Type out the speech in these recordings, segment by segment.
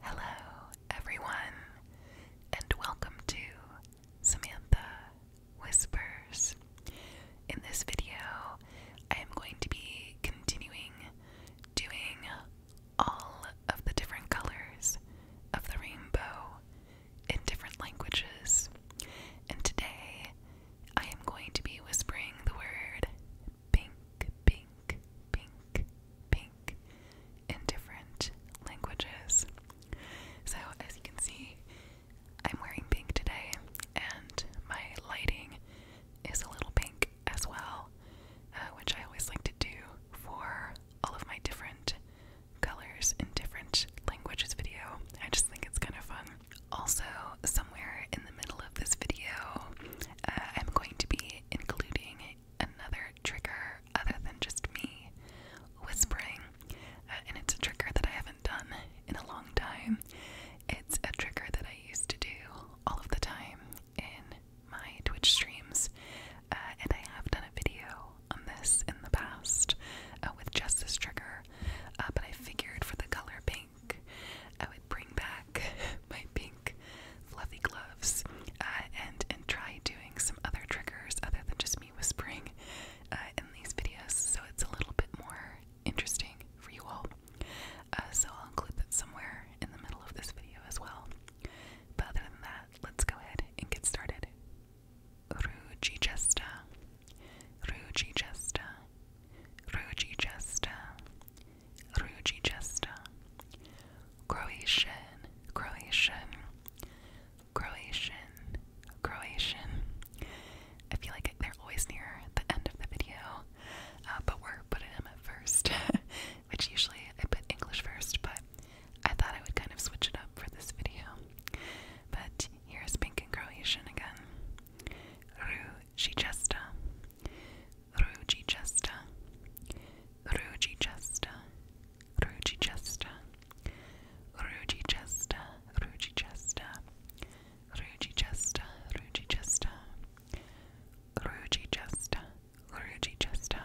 Hello, everyone, and welcome to Samantha Whispers. In this video, I am going to be continuing doing all of the different colors of the rainbow in different languages, and today I am going to be whispering the word pink, pink, pink, pink in different languages. So, as you can see, I'm wearing pink today, and my lighting is a little pink as well, uh, which I always like to do for all of my different colors in different languages video. I just think it's kind of fun. Also, somewhere in the middle of this video, uh, I'm going to be including another trigger other than just me whispering, uh, and it's a trigger that I haven't done in a long time. It's a trigger that I used to do all of the time in my Twitch streams, uh, and I have done a video on this in the past uh, with just this trigger, but I figured for the color pink, I would bring back my pink fluffy gloves uh, and and try doing some other triggers other than just me whispering uh, in these videos so it's a little bit more interesting for you all. Uh, so I'll include that somewhere in the middle of this video as well. But other than that, let's go ahead and get started. Ruji Jesta, Ruji Jesta, Ruji Jesta, Ruji Croatian, Croatian, Croatian, Croatian. I feel like they're always near the end of the video, uh, but we're putting them first, which usually I put English first, but I thought I would kind of switch it up for this video. But here's pink and Croatian again. Ruji Rugichesta, Rugichesta, Rugichesta, Rugichesta, Rugichesta, Rugichesta, Rugichesta, Rugichesta, Rugichesta, Rugichesta,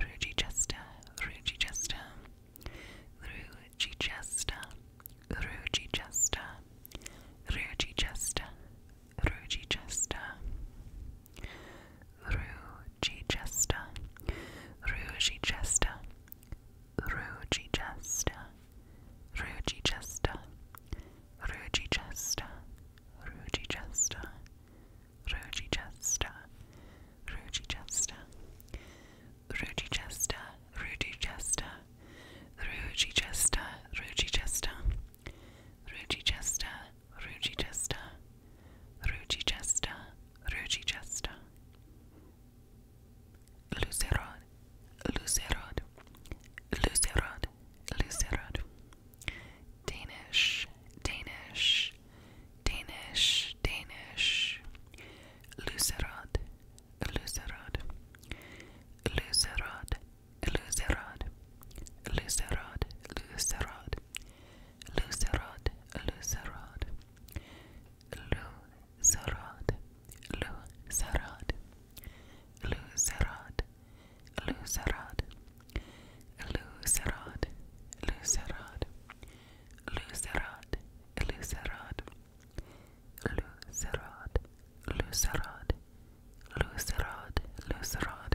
Rugichesta, Rugichesta, Rugichesta, Rugichesta, Rugichester, Rugichester, Rugichester, Rugichester, Rugichester, Rugichester, Rugichester, Rugichester, Rugichester, Rugichester, Rugichester, Rugichester, Rugichester, Ruchichester, Ruchichester, Ruchichester, Ruchichester. Lucerod, Lucerod, Lucerod, Lucerod. Danish, Danish, Danish, Danish. Lucerod, Lucerod, Lucerod, Lucerod, Lucerod, Lucerod, Lucerod, Lucerod, Lucerod, Lucerod, Lucerod, Lucerod, Lucerod, Lucerod, Lucerod, Lucerod, Lucerod, Lucerod, Lucerod, Lucerod,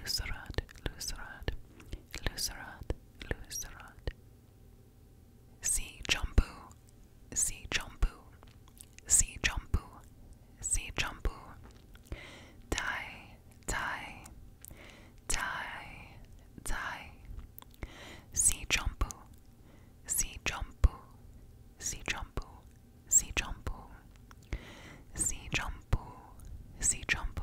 Lucerat, Lucerat, Lucerat, Lucerat. See Jumbo, see Jumbo, see Jumbo, see Jumbo. Die, die, die, die. See Jumbo, see Jumbo, see Jumbo, see Jumbo. See Jumbo, see Jumbo,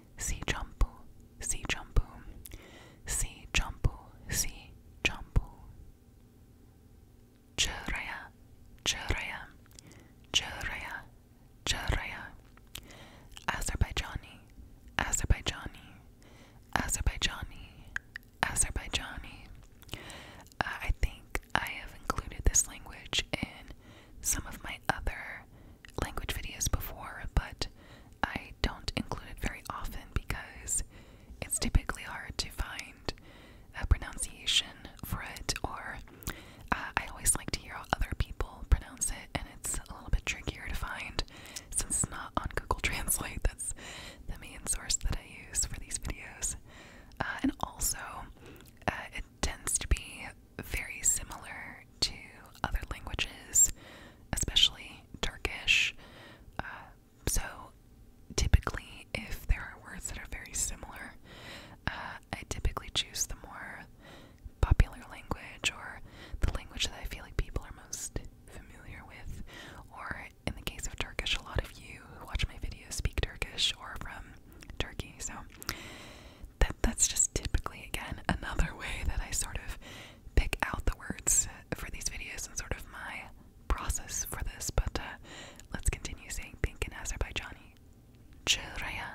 si jumpu, si jumpu, si jumpu, si jumpu. Chiraya, chiraya, chiraya, chiraya. Azerbaijani, Azerbaijani, Azerbaijani, Azerbaijani. Uh, I think I have included this language in some of my other language videos before, but I don't include it very often because it's typically hard to find a pronunciation for it, or uh, I always like to hear how other people pronounce it, and it's a little bit trickier to find since it's not on Google Translate. That's the main source that I use for these videos. Uh, and also, uh, it tends to be very similar to other languages, especially Turkish. Uh, so, typically, if there are words that are very similar, uh, I typically choose the more popular language or the language that I feel like people are most familiar with. Or, in the case of Turkish, a lot of you who watch my videos speak Turkish or from Turkey. So, that that's just typically again another way that I sort of pick out the words for these videos and sort of my process for this. But uh, let's continue saying pink in Azerbaijani. Chiraya,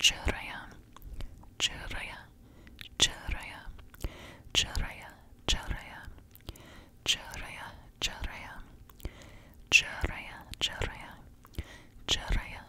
chiraya, chiraya, chiraya, chiraya, chiraya, chiraya, chiraya, chiraya, chiraya, chiraya,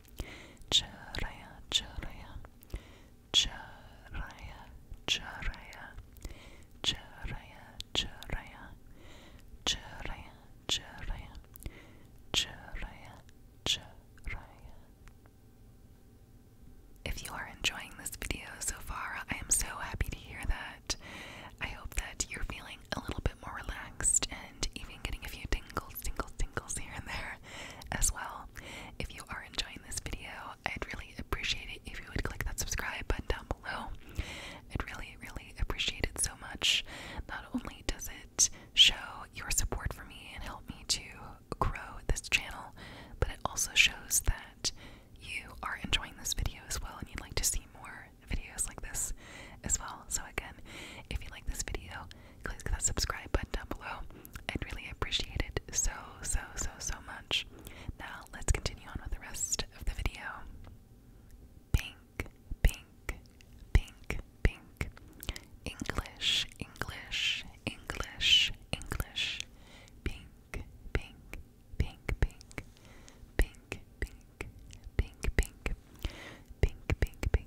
Charaya, charaya, charaya, charaya, charaya, charaya, charaya, charaya, charaya, charaya. If you are enjoying this video so far, I am so happy to hear that. I hope that you're feeling a little bit more relaxed and even getting a few tingles, tingles, tingles here and there as well. If you are enjoying this video, I'd really appreciate it if you would click that subscribe button down below. I'd really, really appreciate it so much. Not only does it show your support for me and help me to grow this channel, but it also shows that you are enjoying this video as well and you'd like to see more videos like this as well. So, again, if you like this video, please hit that subscribe button down below. I'd really appreciate it so, so, so, so much. Now, let's continue on with the rest of the video. Pink, pink, pink, pink. English, English, English, English. Pink, pink, pink, pink. Pink, pink, pink, pink. Pink, pink, pink,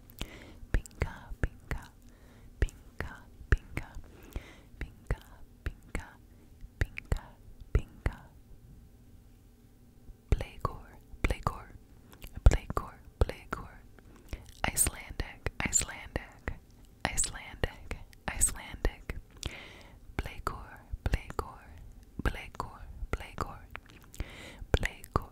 pinka, pinka, pinka, pinka, pinka, pinka, pinka, pinka, Plegor, Plegor, Plegor, Plegor, Icelandic, Icelandic, Icelandic, Icelandic, Plegor, Plegor, Plegor, Plegor, Plegor,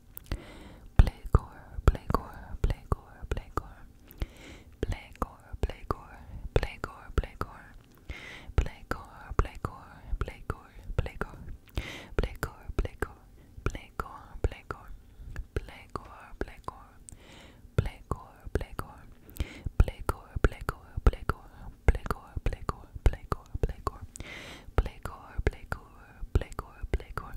Plegor, Plegor, Plegor, Plegor. Plegor, Plegor, Plegor, Plegor. Plegor, Plegor, Plegor, Plegor. Plegor, Plegor, Plegor, Plegor. Plegor, Plegor. Plegor, Plegor. Plegor, Plegor, Plegor. Plegor, Plegor, Plegor, Plegor. Plegor, Plegor, Plegor, Plegor.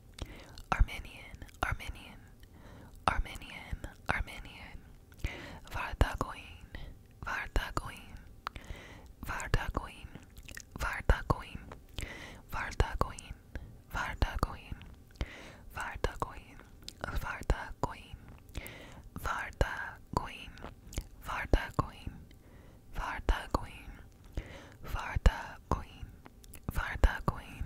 Armenian, Armenian, Armenian, Armenian, Vardagoin, Vardagoin, Vardagoin, Vardagoin, Vardagoin, Vardagoin, Vardagoin, Vardagoin, Vardagoin, Vardagoin, Vardagoin, Vardagoin, Vardagoin,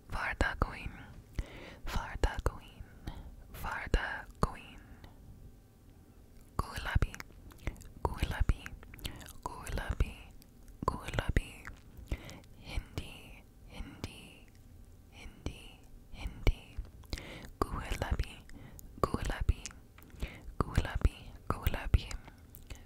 Varda Queen, Varda Queen, Varda Queen. Gulabi, Gulabi, Gulabi, Gulabi. Hindi, Hindi, Hindi, Hindi. Gulabi, Gulabi, Gulabi, Gulabi.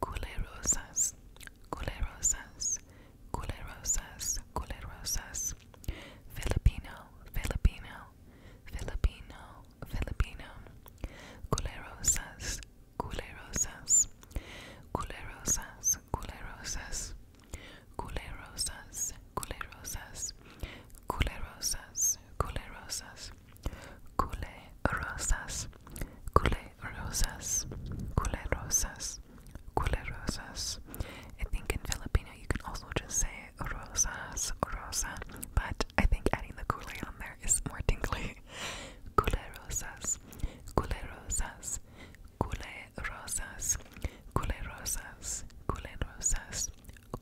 culerosas, culerosas, culerosas, culerosas. Filipino, Filipino, Filipino, Filipino. Culerosas, culerosas, culerosas, culerosas. Culerosas, culerosas, culerosas, culerosas. Cule, rosas, cule rosas, cule rosas, cule rosas. I think in Filipino you can also just say rosas, rosa, but I think adding the cule on there is more tingly. Cule rosas, cule rosas, cule rosas, cule rosas, cule rosas,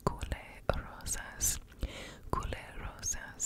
cule rosas, cule rosas. Cule rosas.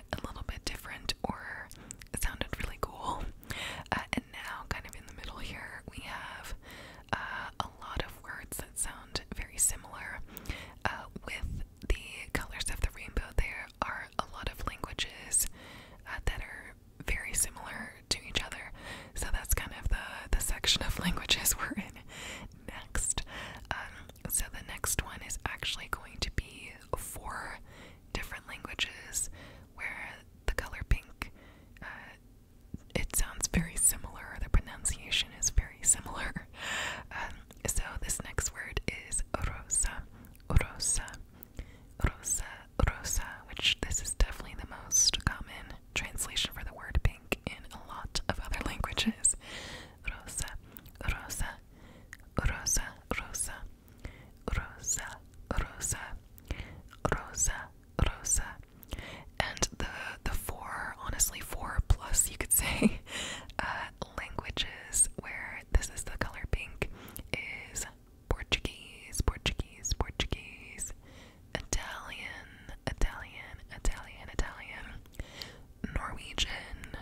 a little bit different or sounded really cool. Uh, and now, kind of in the middle here, we have uh, a lot of words that sound very similar. Uh, with the colors of the rainbow, there are a lot of languages that are very similar to each other. So that's kind of the the section of languages we're in next. Um, so the next one is actually going to be four different languages where the color pink uh, it sounds very similar. The pronunciation is very similar. Um, so this next word is rosa, rosa, rosa, rosa, which this is definitely the most common translation for the word pink in a lot of other languages. Rosa, rosa, rosa, rosa, rosa, rosa, rosa, rosa. And the the four, honestly four plus you could say, uh, languages where this is the color pink is Portuguese, Portuguese, Portuguese, Italian, Italian, Italian, Italian, Norwegian,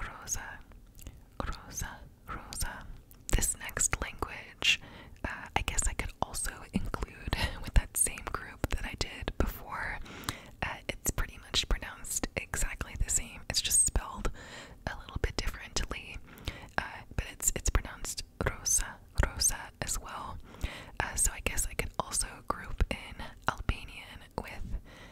Rosa, Rosa, Rosa. This next language, uh, I guess I could also include with that same group that I did before. Uh, it's pretty much pronounced exactly the same. It's just spelled a little bit differently, uh, but it's it's pronounced Rosa, Rosa as well. so I guess I could also group in Albanian with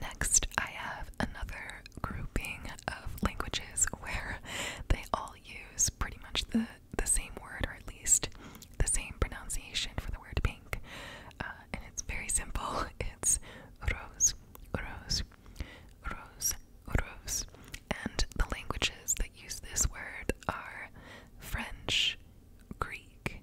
Next, I have another grouping of languages where they all use pretty much the, the same word, or at least the same pronunciation for the word pink. Uh, and it's very simple it's rose, rose, rose, rose. And the languages that use this word are French, Greek,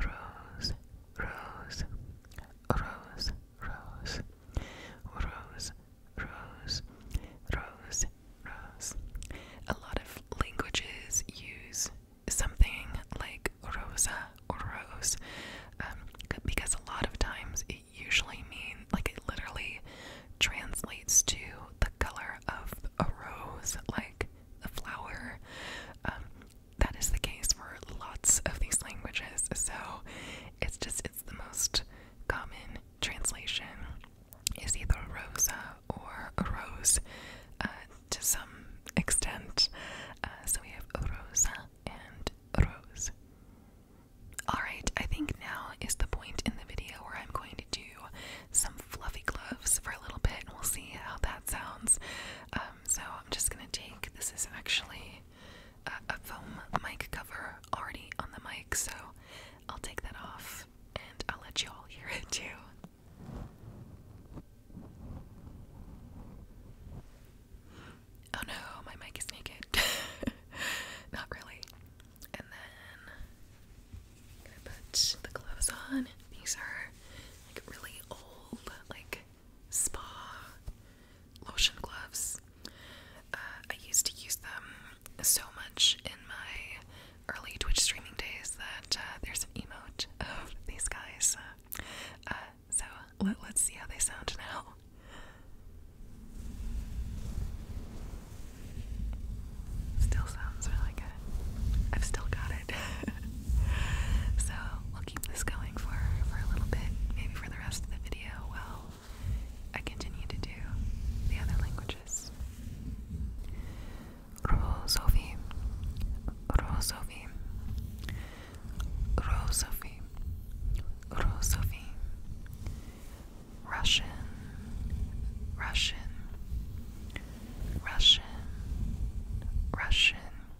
rose, rose, rose, rose, rose, rose, rose, A lot of languages use something like rosa or rose um, because a lot of times it usually means, like, it literally translates to the color of a rose, like the flower. Um, that is the case for lots of these languages. So it's just it's the most common translation is either rosa or rose uh, to some extent. Uh, so we have rosa and rose. Alright, I think now is the point in the video where I'm going to do some fluffy gloves for a little bit and we'll see how that sounds. Um, um, so I'm just gonna take this is actually a, a foam mic cover already on the mic, so I'll take that off and I'll let you all hear it too. Oh no, my mic is naked. Not really. And then I'm gonna put the gloves on. These are like really old, like spa lotion gloves. Uh, I used to use them so much in my early Twitch streaming days that uh, there's an emote of these guys. Uh, so let, us see how they sound now. Still sounds really good. I've still got it. so keep this going for for a little bit, maybe for the rest of the video while I continue to do the other languages. Rosofi, Rosofi, Rosofi, Rosofi. Russian, Russian, Russian, Russian.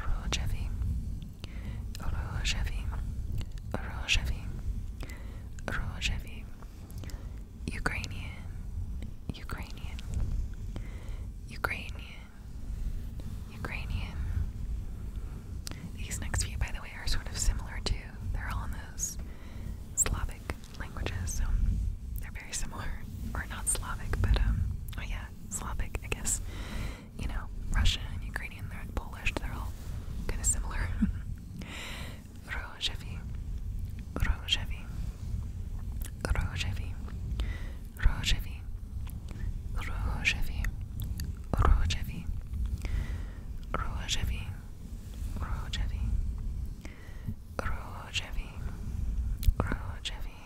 Rojevi, Rojevi, Rojevi, Rojevi, Ukrainian, Ukrainian, Ukrainian, Ukrainian. These next few, by the way, are sort of similar to, they're all in those Slavic languages, so very similar, or not Slavic, but um, oh yeah, Slavic, I guess. You know, Russian and Ukrainian, they're Polish, they're all kind of similar. Rojevi, Rojevi, Rojevi, Rojevi, Rojevi, Rojevi, Rojevi, Rojevi. Rojevi, Rojevi,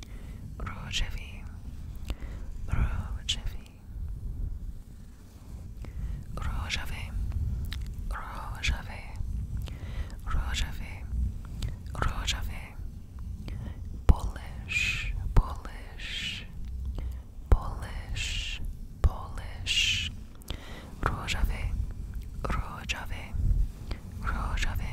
Rojevi Rojevi Rojevi Rojevi Rojevi Rojevi Polish Polish Polish Polish Rojevi Rojevi Rojevi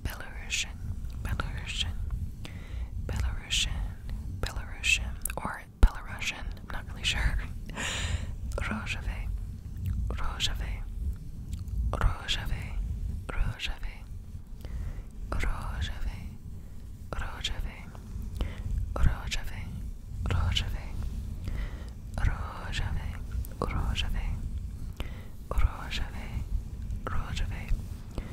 Belarusian, Belarusian, Belarusian, Belarusian, or Belarusian, I'm not really sure. Rojave, Rojave, Rojave, Rojave, Rojave, Rojave, Rojave, Rojave, Rojave, Rojave, Rojave, Rojave,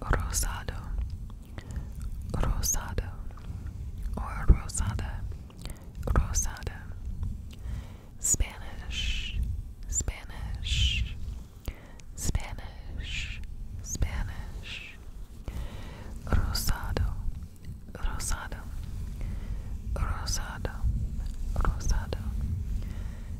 Rosado, rosado, or rosada, rosada. Spanish, Spanish, Spanish, Spanish. Rosado, rosado, rosado, rosado.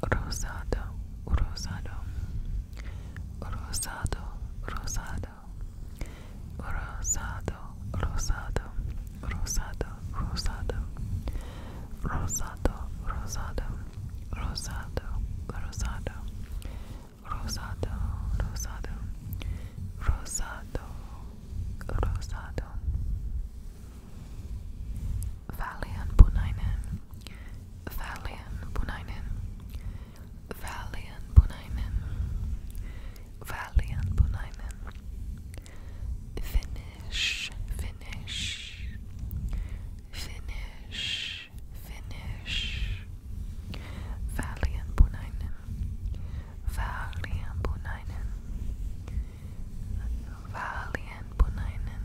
rosado, rosado, rosado, rosado, rosado, rosado, rosado, rosado, rosado, rosado, rosado, rosado, rosado, rosado, rosado, rosado. Valiant Punainen Valian Punainen Valian Punainen Valian Punainen Finish Finish Finish Finish Valian Punainen Valian Punainen Valian Punainen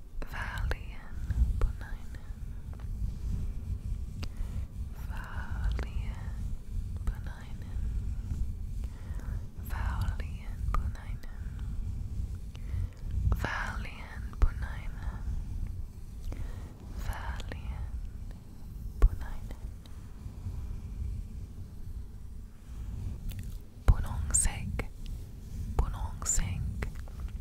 Valian Boninen Valian Boninen Valian Boninen Valian Boninen Valian Boninen Bonong Sek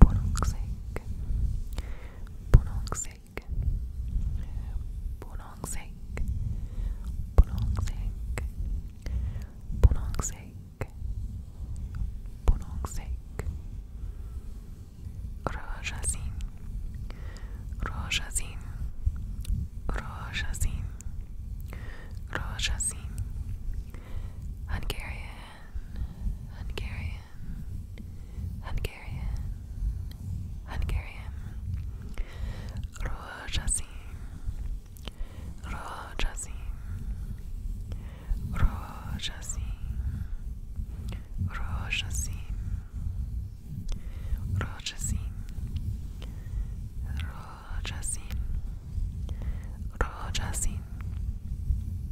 Bonongsek, Bonongsek, Bonongsek, Bonongsek, Bonongsek, Bonongsek, Rojazin, Rojazin, Rojazin, Rojazin, Hungarian. Hungarian, Hungarian, Hungarian, Rózsaszín, Rózsaszín, Rózsaszín, Rózsaszín, Rózsaszín, Rózsaszín, Rózsaszín,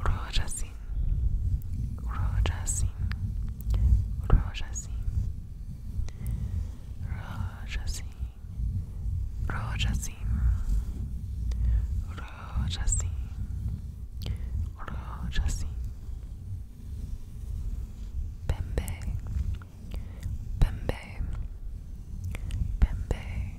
Roja Singh, Roja Singh, Roja Singh, Roja Singh, Roja Singh, Roja Singh, Pembe, Pembe, Pembe.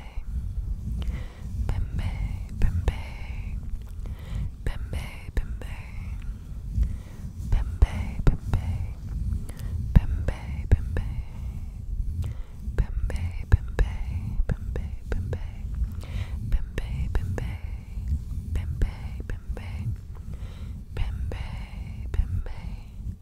Bembe, Bembe, Bembe, Bembe, Bembe, Bembe, Bembe, Bembe, Bembe, Bembe, Bembe, Bembe, Bembe, Bembe, Bembe, Bembe, Bembe, Bembe,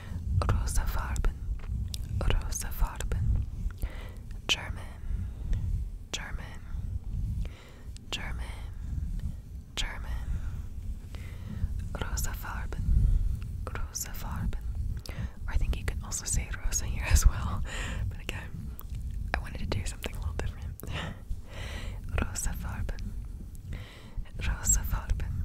Rosa Farben, Rosa Farben, German, German, German, German, Farben, Rosa Farben. I think you can also say Rosa here as well, but again, I wanted to do something a little different. Rosa Farben, Rosa Farben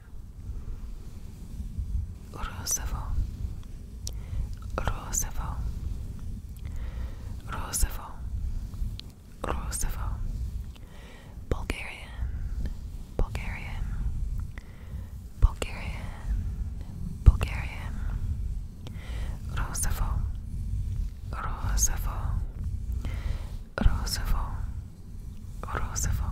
Roosevelt, Roosevelt, Roosevelt, Roosevelt, Bulgarian, Bulgarian, Bulgarian, Bulgarian, Roosevelt, Roosevelt, Roosevelt, Roosevelt.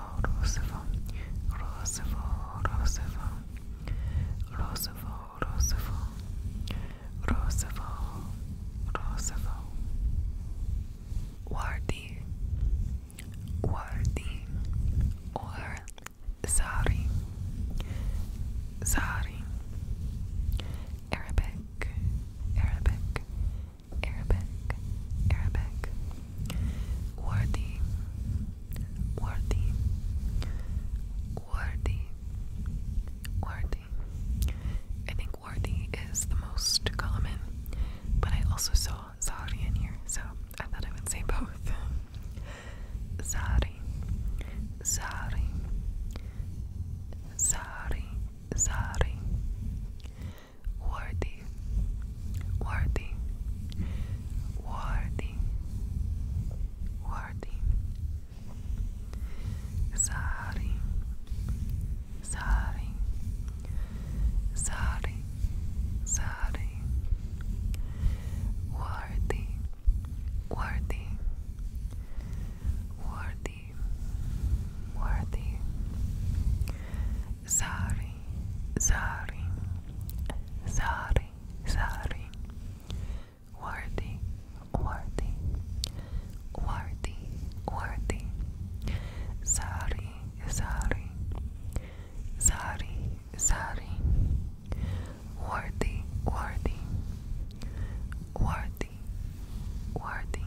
Roosevelt, Roosevelt, Roosevelt, Roosevelt, Roosevelt, Roosevelt, Roosevelt, Roosevelt, Wardy, Wardy, or Zari, Zari, Arabic, Arabic. Arabic, Arabic, worthy, worthy, worthy, worthy. I think worthy is the most common, but I also saw sorry in here, so I thought I would say both. Sorry, sorry, sorry, sorry worthy, worthy, worthy, worthy. Sorry, sorry, sorry, sorry. Worthy, worthy, worthy, worthy sorry, sorry, sorry, sorry. Worthy, worthy, worthy, worthy. Sorry, sorry, sorry, sorry. Worthy, worthy, worthy, worthy.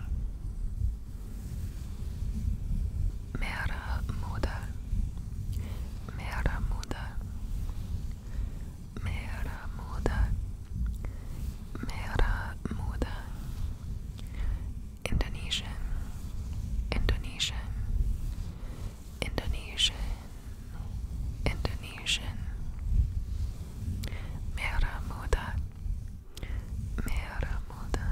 Mera moeder, mera moeder, mera moeder, mera moeder. Indonesian, Indonesian, Indonesian, Indonesian. Mera moeder, mera moeder.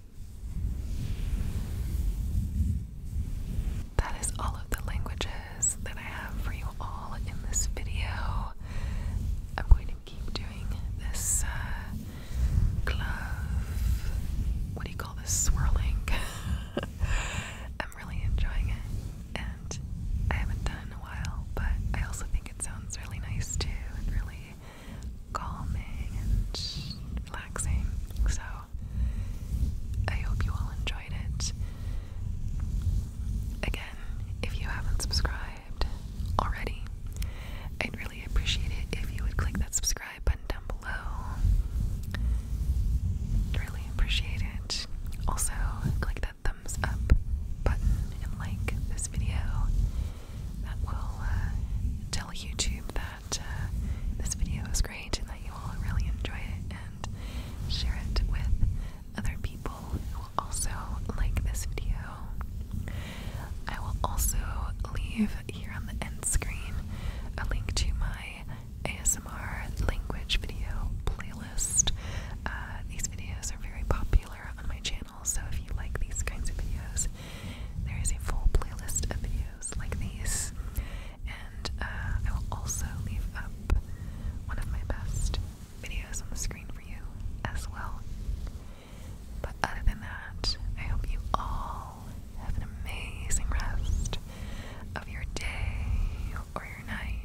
That is all of the languages that I have for you all in this video. I'm going to keep doing this uh, glove. What do you call this? Swirling. I'm really enjoying it, and I haven't done in a while, but I also think it sounds really nice too. really calming and relaxing. So I hope you all enjoyed it. Again, if you haven't subscribed already, I'd really appreciate it if you would click that subscribe button down below. really appreciate it. Also, click that thumbs up button and like this video. That will uh, tell YouTube that that uh, this video is great and that you all really enjoy it and share it with other people who will also like this video. I will also leave here on the end screen a link to my ASMR language video playlist. Uh, these videos are very popular on my channel, so if you like these kinds of videos, there is a full playlist of videos like these, and uh, I will also leave up one of my best videos on the screen for you as well. But other than that, I hope you all have an amazing rest of your day or your night,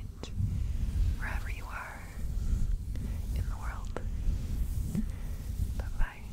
wherever you are in the world. Bye bye.